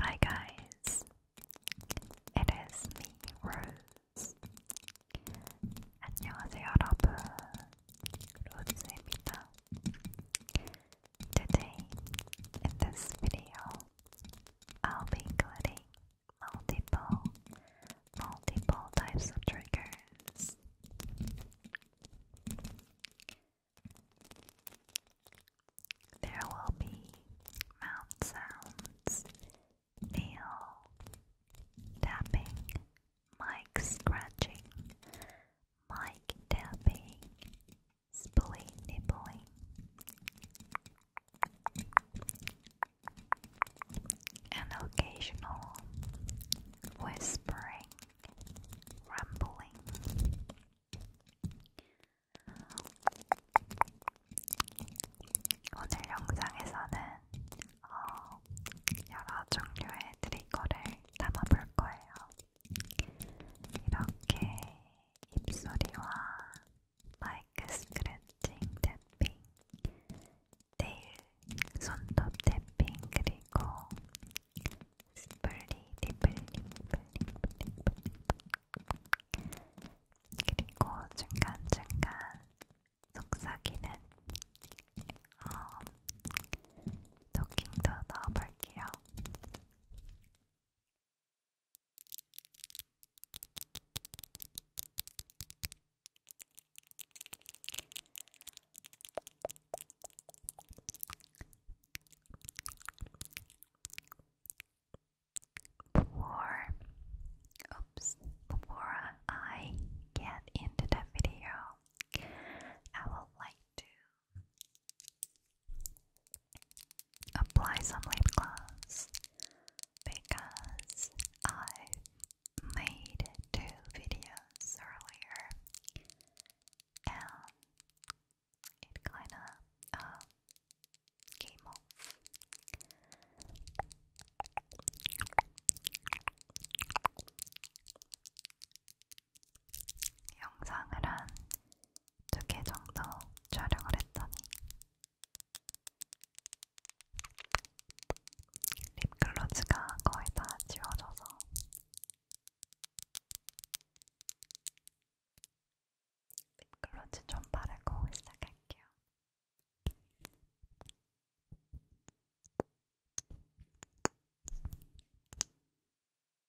Hi guys, it is me, Rose. 안녕하세요 여러분, 로즈입니다. Today, in this video, I'll be including multiple, multiple types of triggers. There will be mouth sounds, nail tapping, mic scratching, mic tapping, Spilly nibbling. and occasional whispering, rumbling. 오늘 영상에서는 여러 종류의 트리거를 담아볼 거예요. 이렇게 입소리와 마이크 스크래칭 태핑, 네일 손톱 태핑 그리고 스플리 디플리 그리고 중간중간 속삭이는 어, 토킹도 넣어볼게요. Before, oops, before I get into the video, I would like to apply some lip gloss because I made two videos earlier and it kinda uh, came off. 두개 정도 촬영을 했더니 립글로즈가 거의 다 지워져서 립글로즈 좀 바르고 시작할게요.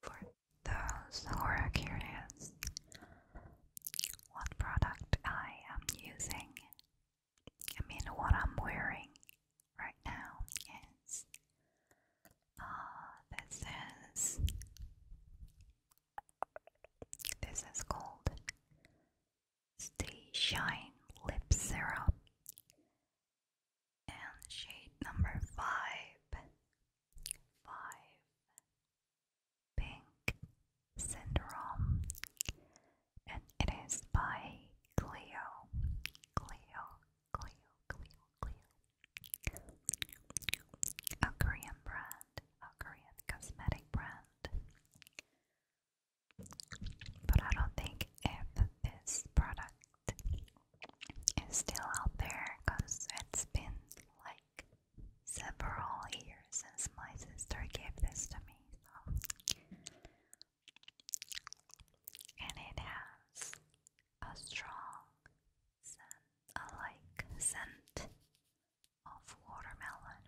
For those who are curious, what product I am using I mean, what I'm wearing right now is uh, ah, this is this is called Stay Shine Lip Syrup and shade number five. Five. Pink Syndrome, and it is by Cleo. Cleo, Cleo, Cleo, Cleo. A Korean brand, a Korean cosmetic brand. But I don't think if this product is still out there because it's been like several years since my sister gave this to me. And it has a strong like scent of watermelon,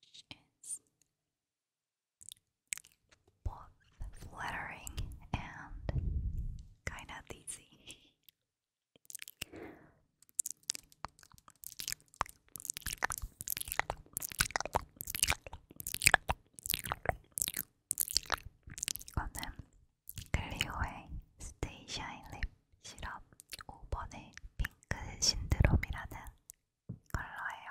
which is both flattering and kind of dizzy. 이거는 클리오의 스테이샤인 립 시럽 5번의 핑크 신드롬이라는 컬러예요.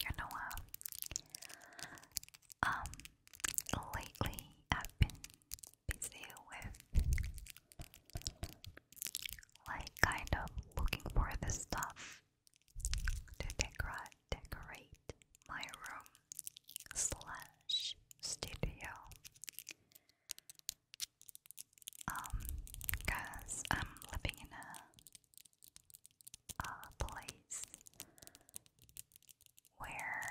You know uh, Um, lately I've been busy with like kind of looking for the stuff to decorate decorate my room slash studio. Um, cause I'm living in a uh, place where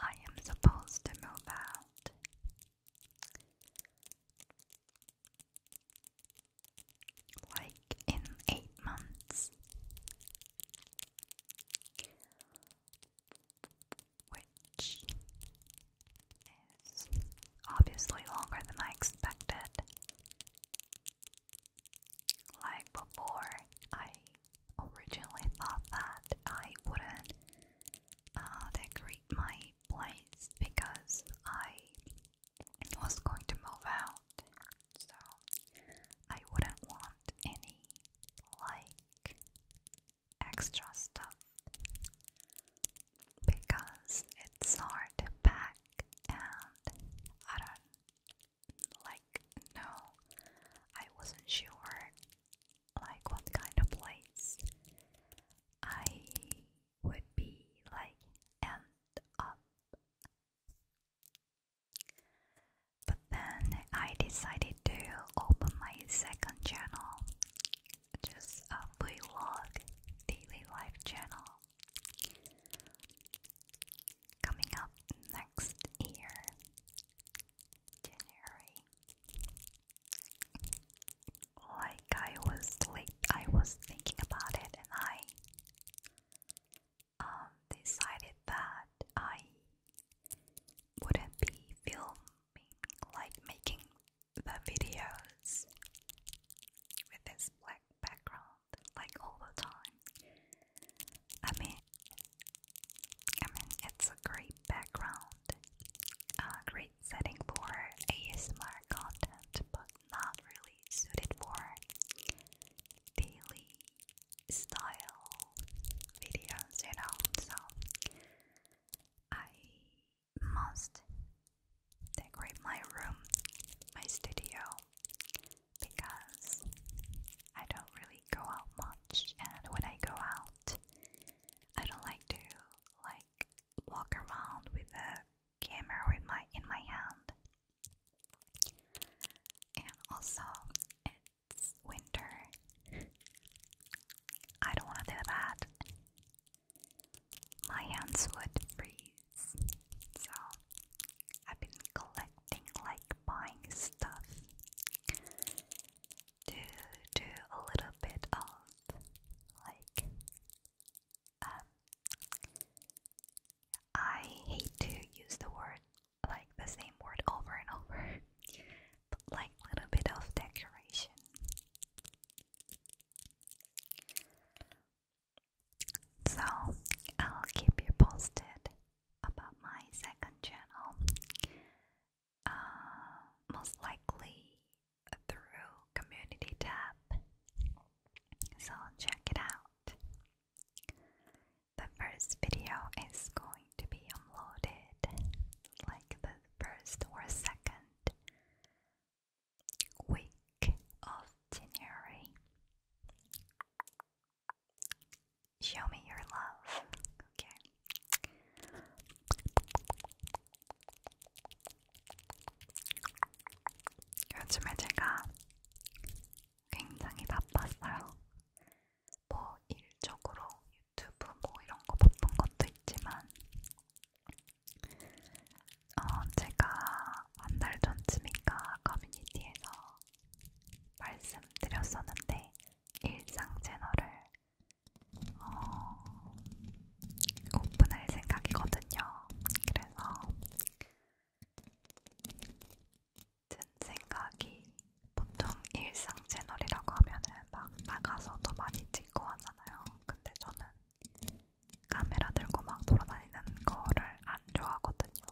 I am supposed to move out. Like in eight months, which is obviously longer than I expected. Like before, I originally thought that I wouldn't uh, decorate my place because I was going to move out, so I wouldn't want any like extra stuff because it's hard to pack I don't like no. I wasn't sure like what kind of place I would be like end up. But then I decided to open my second channel, just a vlog daily life channel. Coming up next year, January. Like I was like I was thinking about it, and I um, decided that I wouldn't be filming, like making the videos with this black background like all the time. I mean, I mean it's a great background, a great setting for ASMR content, but not really suited for daily style videos, you know. So must decorate my room, my studio, because I don't really go out much, and when I go out, I don't like to like walk around with a camera with my in my hand. And also, it's winter. I don't want to do that my hands would freeze. So I've been collecting, like buying stuff to do a little bit of like, um, I hate to use the word like the same word over and over, but like a little bit of decoration. So I'll keep you posted about my second channel. Uh, most likely through community tab. So check it out. The first video is going to be uploaded like the first or second week of January. Show me your love, okay? 요즘에 제가 굉장히 바빴어요. 뭐 일적으로 유튜브 뭐 이런 거 바쁜 것도 있지만 어, 제가 한 달 전쯤인가 커뮤니티에서 말씀드렸었는데 일상 채널을 어, 오픈할 생각이거든요. 그래서 든 생각이 보통 일상 채널이라고 하면은 막 나가서도 많이 찍고 하잖아요. 근데 저는 카메라 들고 막 돌아다니는 거를 안 좋아하거든요.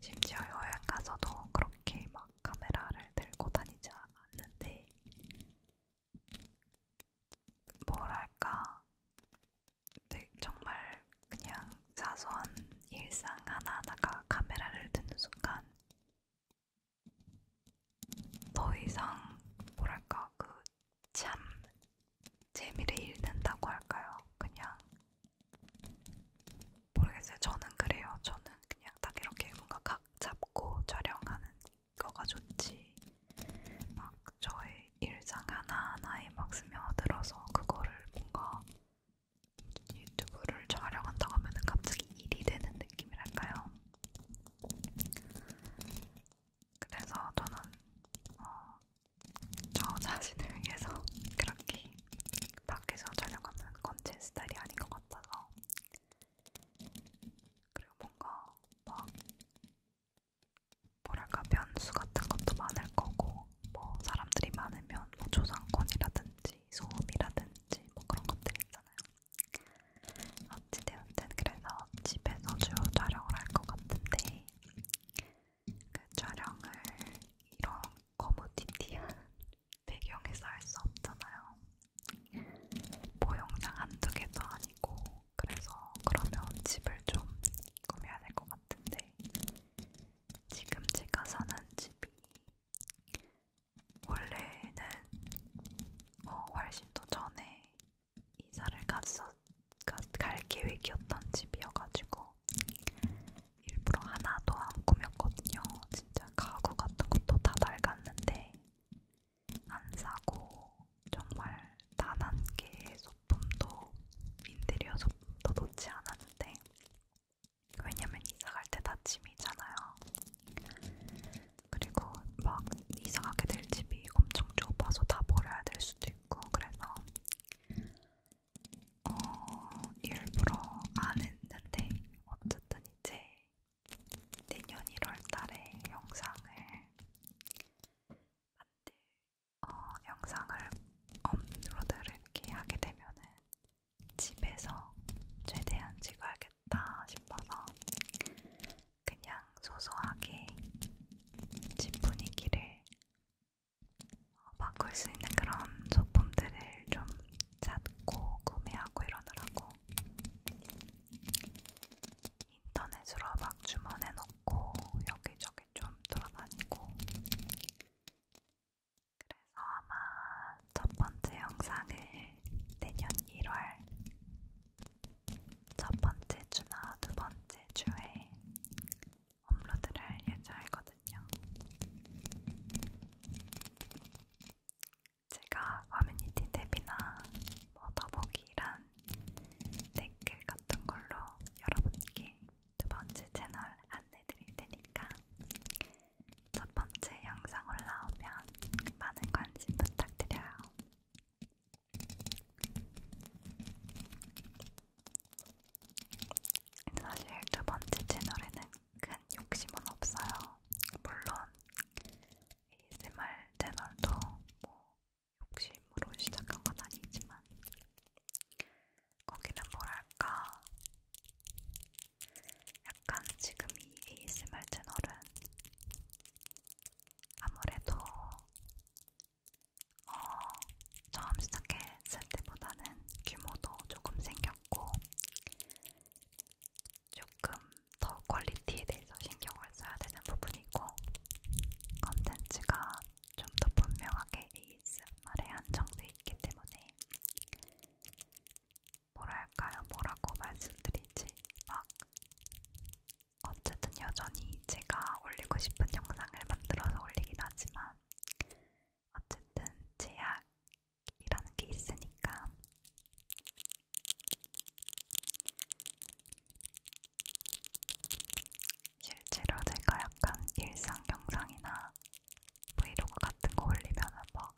심지어 여행 가서도 그렇게 막 카메라를 들고 다니지 않는데 뭐랄까 네, 정말 그냥 사소한 일상 하나하나가 카메라를 드는 순간 더 이상 뭐랄까 그 참 재미를 잃는다고 할까요? 그냥 모르겠어요. 저는 그래요. 저는 그냥 딱 이렇게 뭔가 각 잡고 촬영하는 거가 좋지. 막 저의 일상 하나하나에 막 스며들어서 그거를 뭔가 유튜브를 촬영한다고 하면은 갑자기 일이 되는 느낌이랄까요? 그래서 저는 어, 저 자신을 위해서 그렇게 밖에서 촬영하는 건제 스타일이 아닌 것 같아서 그리고 뭔가 막 뭐랄까 변수 같은 것도 많을 거고 뭐 사람들이 많으면 뭐 조상권이라든지 소음이라든지 뭐 그런 것들 있잖아요. 어찌되었든 그래서 집에서 주로 촬영을 할 것 같은데 그 촬영을 이런 거무튀튀한 배경에서 할 수 없잖아요. 뭐 영상 한두 개도 아니고 그래서 그러면 집을 좀 꾸며야 될 것 같은데 지금 제가 사는 집이 원래는 어, 훨씬 더 전에 이사를 갔어, 가, 갈 계획이었던 집이어가지고 일부러 하나도 안 꾸몄거든요. 진짜 가구 같은 것도 다 낡았는데 안 사고 정말 단 한 개의 소품도 인테리어 소품도 놓지 않았는데 왜냐면 이사갈 때 다 짐이잖아요. 그리고 막 이사가게 될 집이 엄청 좁아서 다 버려야 될 수도 있고 그래서 어, 일부러 안 했는데 어쨌든 이제 내년 1월달에 영상을 만들 어, 영상을 업로드를 이렇게 하게 되면은 집에서 최대한 찍어야겠. 좋겠다 싶어서 그냥 소소하게 집 분위기를 바꿀 수 있는 그런 소품들을 좀 찾고 구매하고 이러느라고 인터넷으로 막 주문해놓고 여기저기 좀 돌아다니고 그래서 아마 첫 번째 영상을 내년 1월 첫 번째 주나 두 번째 주에 업로드를 할 예정이거든요. 제가 커뮤니티 탭이나 뭐 더보기란 댓글 같은 걸로 여러분께 두 번째 채널 안내 드릴 테니까 첫 번째 영상 올라오면 많은 관심 부탁드려요. 사실 두 번째 채널에는 큰 욕심은 없어요. 물론 ASMR 채널도 뭐 욕심으로 시작한 건 아니지만 거기는 뭐랄까 약간 지금 이 ASMR 채널은 아무래도 어, 처음 시작했을 때보다는 규모도 조금 생겼고 조금 더 퀄리티에 대해서 신경을 써야 되는 부분이고 컨텐츠가 좀 더 분명하게 ASMR에 한정돼 있기 때문에 뭐랄까요, 뭐라고 말씀드리지? 막 어쨌든 여전히 제가 올리고 싶은 영상을 만들어서 올리긴 하지만 어쨌든 제약이라는 게 있으니까 실제로 제가 약간 일상 영상이나 브이로그 같은 거 올리면은 막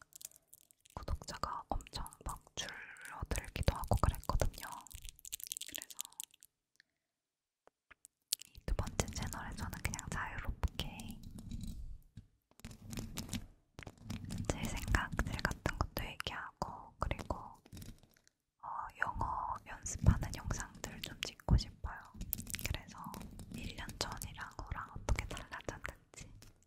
구독자가 엄청 막 줄어들기도 하고 그랬거든요. 그래서 이 두 번째 채널에서는 그냥 자유롭게 제 생각들 같은 것도 얘기하고 그리고 어, 영어 연습하는 영상들 좀 찍고 싶어요. 그래서 1년 전이랑 후랑 어떻게 달라졌는지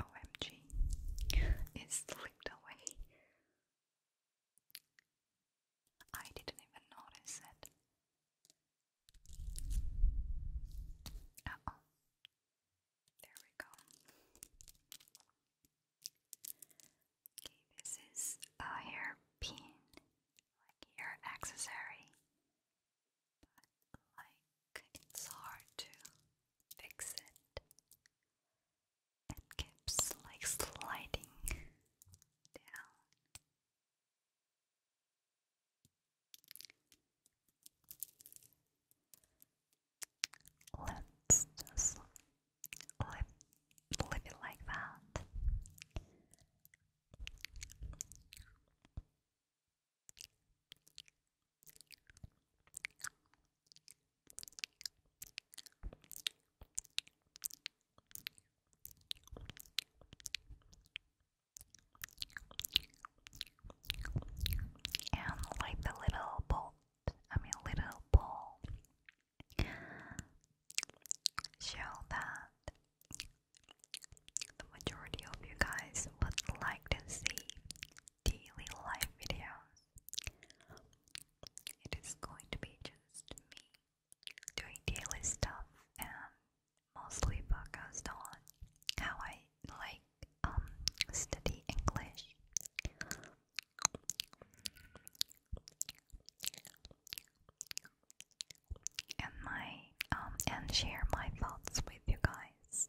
OMG, it slipped away. I didn't even notice it. oh. There we go. Okay, this is a hair pin, like hair accessory. But like it's hard to fix it. It keeps like sliding down. Let's just leave, leave it like that. And like the little bolt, I mean little ball, show that the majority of you guys would like to see daily life videos. It is going to be just me doing daily stuff and mostly focused on how I like um study English. And my um and share my thoughts with you guys.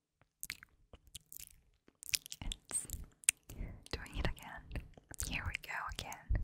doing it again. Here we go again.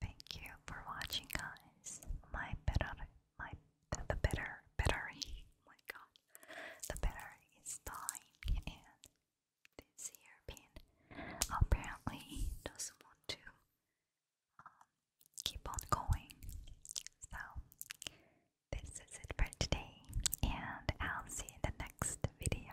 Thank you for watching, guys. My better, my the, the bitter, oh my God, the bitter is dying, and this European apparently doesn't want to um, keep on going. So this is it for today, and I'll see you in the next video.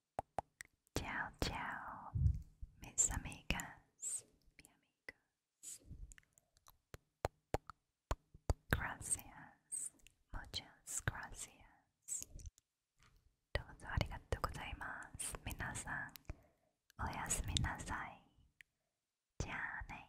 Ciao, ciao, mis amigas, mi amigos. Gracias, muchas gracias. どうぞありがとうございます。みなさん、おやすみなさい。じゃあね。